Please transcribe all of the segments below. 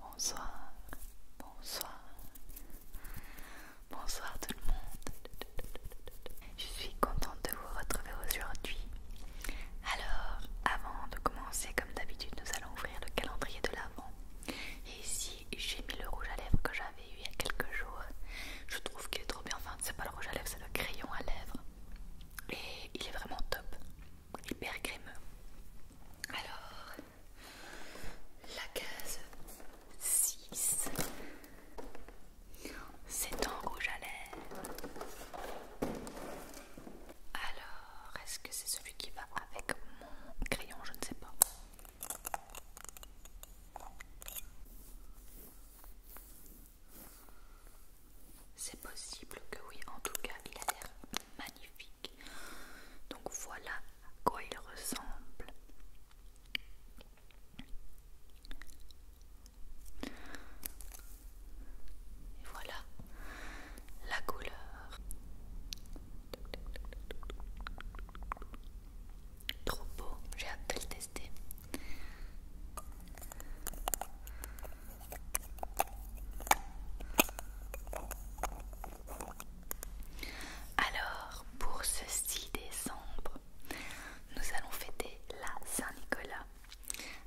Bonsoir, bonsoir, bonsoir tout le monde. Je suis contente de vous retrouver aujourd'hui. Alors, avant de commencer, comme d'habitude, nous allons ouvrir le calendrier de l'avant. Et ici, j'ai mis le rouge à lèvres que j'avais eu il y a quelques jours. Je trouve qu'il est trop bien. Enfin, c'est pas le rouge à lèvres, c'est le crayon à lèvres et il est vraiment top, hyper crémeux. Alors, la case 6, c'est en rouge à lèvres. Alors, est-ce que c'est celui qui va avec mon crayon Je ne sais pas. C'est possible que oui, en tout cas, il a l'air magnifique. Donc voilà à quoi il ressemble. Et voilà la couleur. Trop beau, j'ai hâte de le tester. Alors, pour ce 6 décembre, nous allons fêter la Saint-Nicolas.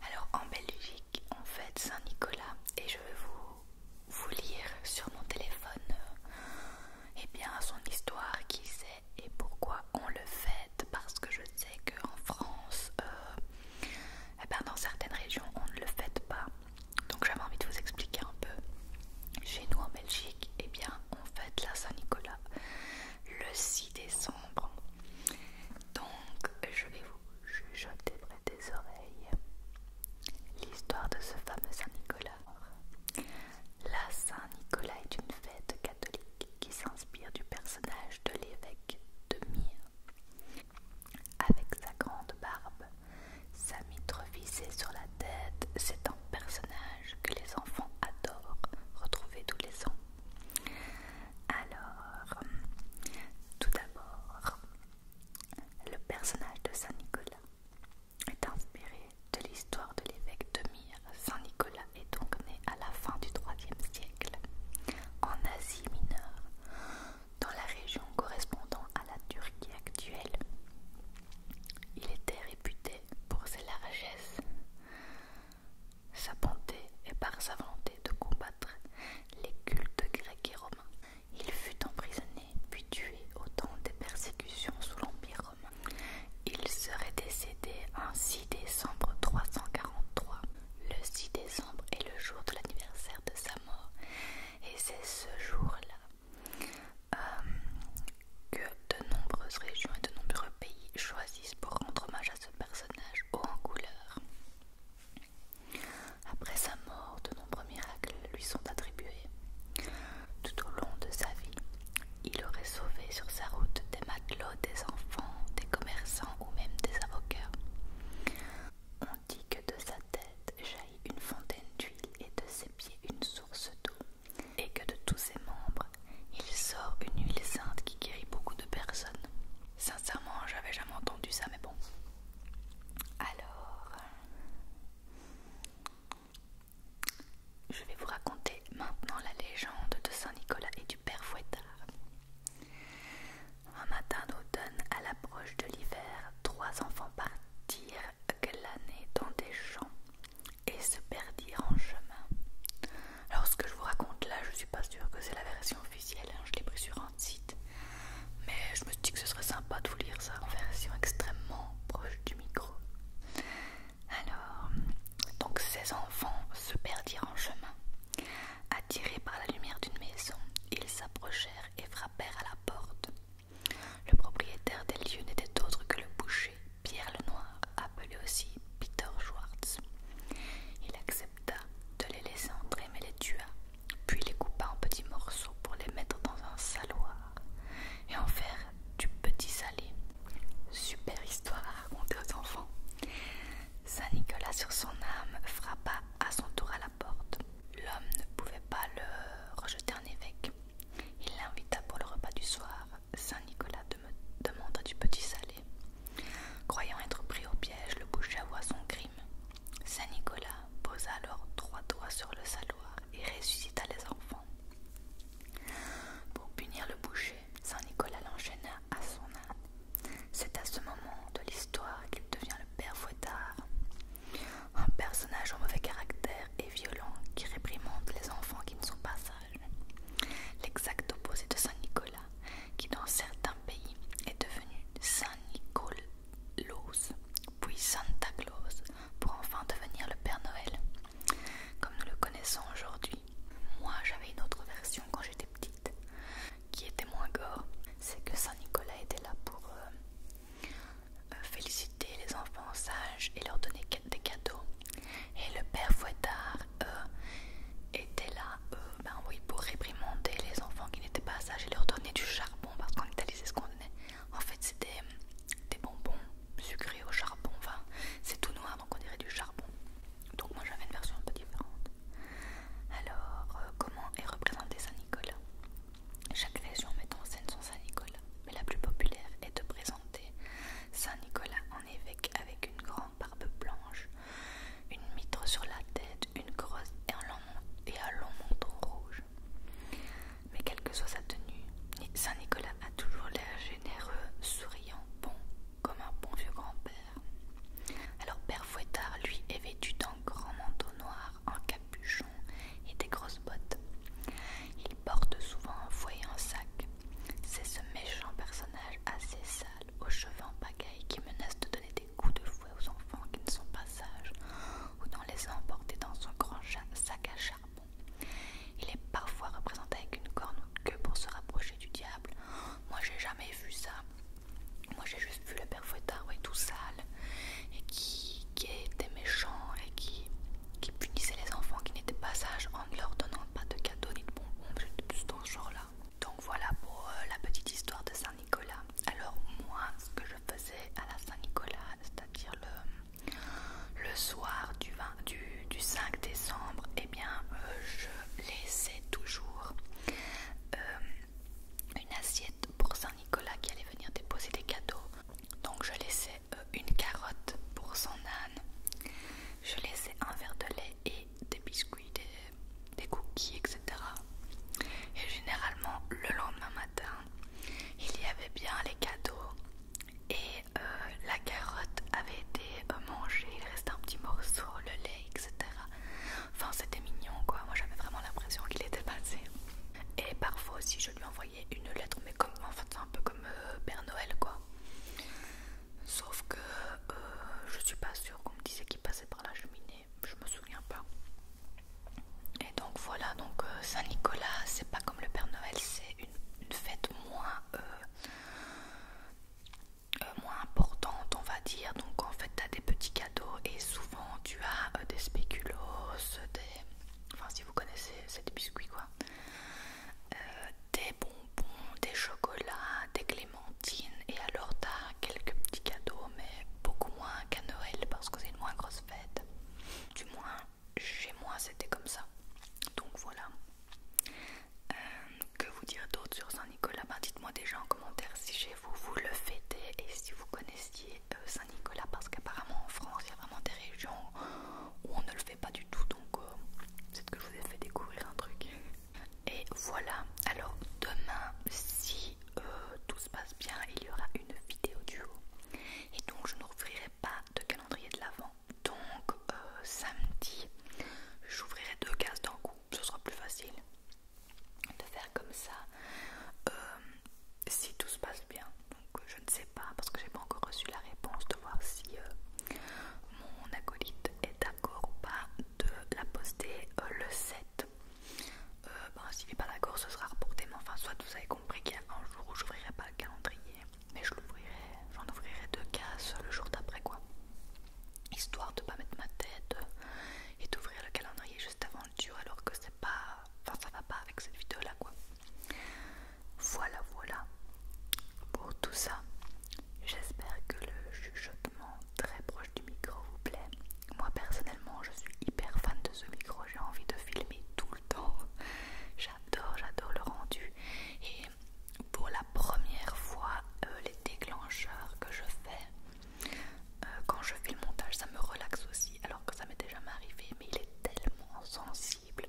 Alors, en Belgique, on fête Saint-Nicolas et je vais vous, lire sur mon téléphone euh, eh bien, son histoire, qui c'est et pourquoi on le fait parce que je sais qu'en France, euh, eh ben, dans certaines régions, on ne le fête pas. Donc j'avais envie de vous expliquer un peu. Chez nous en Belgique, eh bien on fête la Saint-Nicolas le 6 décembre. Donc je vais vous chuchoter près des oreilles l'histoire de ce fameux Saint-Nicolas. La Saint-Nicolas est une fête catholique qui s'inspire du personnage de l'évêque de Mire. Avec sa grande barbe, sa mitre visée sur la tête, c'est un personnage que les enfants adorent retrouver tous les ans. Alors, tout d'abord, le personnage de Saint Nicolas est inspiré de l'histoire de l'évêque de Mire. Saint Nicolas est donc né à la fin du IIIe siècle en Asie mineure, dans la région correspondant à la Turquie actuelle. Il était réputé pour ses largesses, sa bonté et par sa volonté de combattre les cultes grecs et romains. Il fut emprisonné puis tué au temps des persécutions sous l'Empire romain. Il serait décédé un 6 décembre 343 le 6 décembre est le jour de l'anniversaire de sa mort et c'est ce jour-là euh, que de nombreuses régions et de nombreux pays choisissent pour rendre hommage à ce personnage haut en couleur. Après sa mort, de nombreux miracles lui sont attribués. Tout au long de sa vie, il aurait sauvé sur sa route des malades l'eau des enfants, des commerçants ou même des avocats. On dit que de sa tête jaillit une fontaine d'huile et de ses pieds une source d'eau, et que de tous ses membres, il sort une huile sainte qui guérit beaucoup de personnes. Sincèrement, j'avais jamais entendu ça, mais bon. Alors, je vais vous raconter maintenant la légende de Saint Nicolas et du père Fouettard. Un matin d'automne, à l'approche de l'hiver, trois enfants partirent glaner dans des champs et se perdirent en chemin. Alors ce que je vous raconte là, je suis pas sûre que c'est la version officielle, hein, je l'ai pris sur un site, mais je me suis dit que ce serait sympa de vous lire ça en version extrêmement proche du micro. Alors, donc ces enfants se perdirent en chemin. Attirés par la lumière d'une maison, ils s'approchèrent et frappèrent à la porte. Le propriétaire des lieux n'était autre que le boucher, Pierre Lenoir, appelé aussi Peter Schwartz. Il accepta de les laisser entrer mais les tua, puis les coupa en petits morceaux pour les mettre dans un saloir et en faire du petit salé. Super histoire à raconter aux enfants. Saint Nicolas sur son âme frappa à son tour à la porte. L'homme ne pouvait pas le rejeter en évêque. Il l'invita pour le repas du soir. Saint Nicolas demanda du petit salé. Croyant être pris au piège, le boucher avoua son crime. Saint Nicolas posa alors trois doigts sur le saloir et ressuscita les enfants. Pour punir le boucher, Saint Nicolas l'enchaîna à son âme c'est à ce moment de l'histoire qu'il devient le père Fouettard, un personnage au mauvais caractère et violent qui réprimande les enfants qui ne sont pas sages. L'exact opposé de Saint-Nicolas, qui dans certains pays est devenu Saint-Nicolas, puis Santa Claus, pour enfin devenir le Père Noël, comme nous le connaissons aujourd'hui. Moi j'avais une autre version quand j'étais petite qui était moins gore, c'est que Saint-Nicolas était là pour euh, euh, féliciter les enfants sages et leur donner des cadeaux. Et le père Fouettard euh, était là ben oui, pour réprimander les enfants qui n'étaient pas sages et leur donner du charbon parce qu'en Italie c'est ce qu'on donnait. En fait c'était des, des bonbons sucrés au charbon, enfin c'est tout noir donc on dirait du charbon. Donc moi j'avais une version un peu différente. Alors, euh, comment est représenté Saint-Nicolas Chaque version met en scène son Saint-Nicolas, mais la plus populaire est de présenter Saint-Nicolas en évêque avec une grande barbe blanche, une mitre sur la tête, une grosse et un long, et un long manteau rouge. Mais quelle que soit sa tenue, Saint-Nicolas a toujours l'air généreux, souriant, bon comme un bon vieux grand-père. Alors Père Fouettard, lui, est vêtu d'un grand manteau noir, en capuchon et des grosses bottes. Il porte souvent un fouet en un sac. C'est ce méchant personnage assez sale, aux cheveux en pagaille, qui menace de donner des coups de fouet aux enfants qui ne sont pas sages, ou d'en les emporter dans son grand sac à charbon. Il est parfois représenté avec une corne ou queue pour se rapprocher du diable. Moi, j'ai jamais vu ça. Moi j'ai juste vu le père Fouettard ouais, tout sale et qui, était méchant et qui, punissait les enfants qui n'étaient pas sages en ne leur donnant pas de cadeaux ni de bonbons, juste dans ce genre-là. Donc voilà pour euh, la petite histoire de Saint-Nicolas. Alors moi ce que je faisais à la Saint-Nicolas, c'est-à-dire le, le soir du, du, 5 décembre, et eh bien euh, je laissais toujours euh, une assiette pour Saint-Nicolas qui allait venir déposer des cadeaux. Donc je laissais euh, une carotte pour son âne. Je laissais un verre de lait et des biscuits, des, cookies, etc. Et généralement le lendemain matin, il y avait bien les cadeaux et euh, la carotte avait été mangée, il restait un petit morceau, le lait, etc. Enfin, c'était mignon quoi. Moi j'avais vraiment l'impression qu'il était passé. Et parfois aussi, je lui envoyais une lettre, mais comme en fait, c'est un peu comme euh, Père Noël quoi. Sauf que euh, je suis pas sûre qu'on me disait qu'il passait par la cheminée, je me souviens pas. Et donc voilà, donc euh, Saint-Nicolas, c'est pas comme le Père Noël, c'est une, fête moins. Euh, moins importante, on va dire. Donc en fait, tu as des petits cadeaux et souvent tu as euh, des spéculoos, des. Enfin, si vous connaissez, c'est des biscuits quoi. Euh, des bonbons, des chocolats, des clémentines et alors t'as quelques petits cadeaux mais beaucoup moins qu'à Noël parce que c'est une moins grosse fête. Du moins chez moi c'était comme ça. Donc voilà. Euh, que vous dire d'autre sur Saint-Nicolas ben, Dites-moi déjà en commentaire si chez vous vous le fêtez et si vous connaissiez euh, Saint-Nicolas parce qu'apparemment en France il y a vraiment des régions où on ne le fait pas du tout donc euh, c'est peut que je vous ai fait découvrir un truc. Et voilà, alors demain si tout se passe bien il y aura une vidéo duo et donc je n'ouvrirai pas de calendrier de l'avant donc samedi j'ouvrirai deux cases d'un coup, ce sera plus facile de faire comme ça euh, si tout se passe bien. Donc euh, je ne sais pas parce que j'ai pas encore reçu la réponse de voir si euh, mon acolyte est d'accord ou pas de la poster le 7. Ben, s'il n'est pas d'accord, ce sera reporté, mais enfin, soit vous avez compris qu'il y a un jour où j'ouvrirai pas le calendrier, mais je l'ouvrirai, j'en ouvrirai deux cases le jour d'après quoi histoire de pas mettre ma tête euh, et d'ouvrir le calendrier juste avant le tour alors que c'est pas enfin ça va pas avec cette vidéo là quoi voilà voilà pour tout ça j'espère que le chuchotement très proche du micro vous plaît moi personnellement je suis hyper fan de ce micro j'ai envie de filmer tout le temps j'adore j'adore le rendu et pour la première fois euh, les déclencheurs que je fais euh, quand je fais le montage, ça me relaxe aussi, alors que ça m'est déjà arrivé, mais il est tellement sensible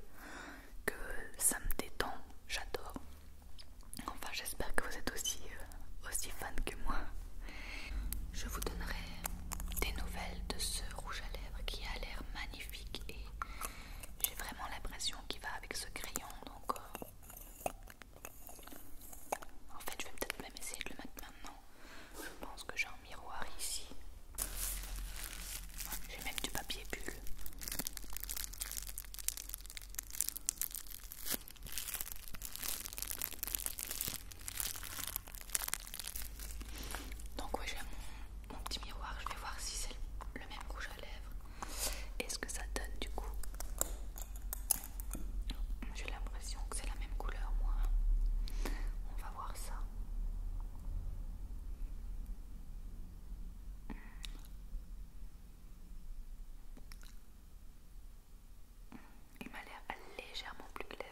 que ça me détend, j'adore. Enfin, j'espère que vous êtes aussi, euh, aussi fan que moi. Je vous donnerai des nouvelles de ce rouge à lèvres qui a l'air magnifique et j'ai vraiment l'impression qu'il va avec ce crayon, donc euh, en fait, je vais peut-être même essayer de le mettre maintenant. Je pense que j'ai un miroir ici. J'ai même du papier bulle. Donc oui, j'ai mon, petit miroir. Je vais voir si c'est le même couche à lèvres. Est-ce que ça donne du coup j'ai l'impression que c'est la même couleur, moi. On va voir ça. Il m'a l'air légèrement plus clair.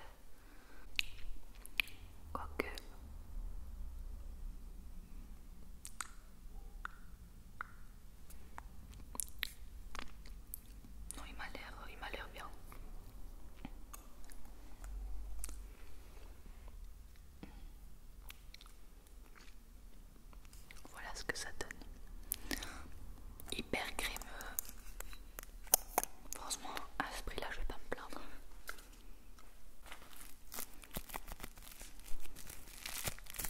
OK il m'a l'air, il m'a l'air bien. Voilà ce que ça donne. Hyper crémeux. Euh. Franchement, à ce prix-là, je vais pas me plaindre.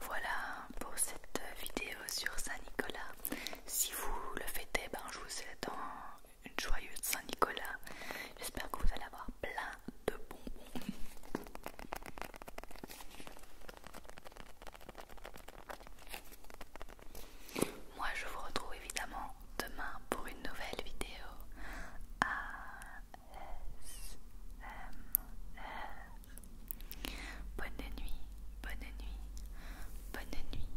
Voilà pour cette vidéo sur Saint-Nicolas. Si vous le fêtez, ben, je vous souhaite une joyeuse Saint-Nicolas. J'espère que vous allez avoir plein de bonbons. Moi je vous retrouve évidemment demain pour une nouvelle vidéo ASMR. Bonne nuit, bonne nuit, bonne nuit.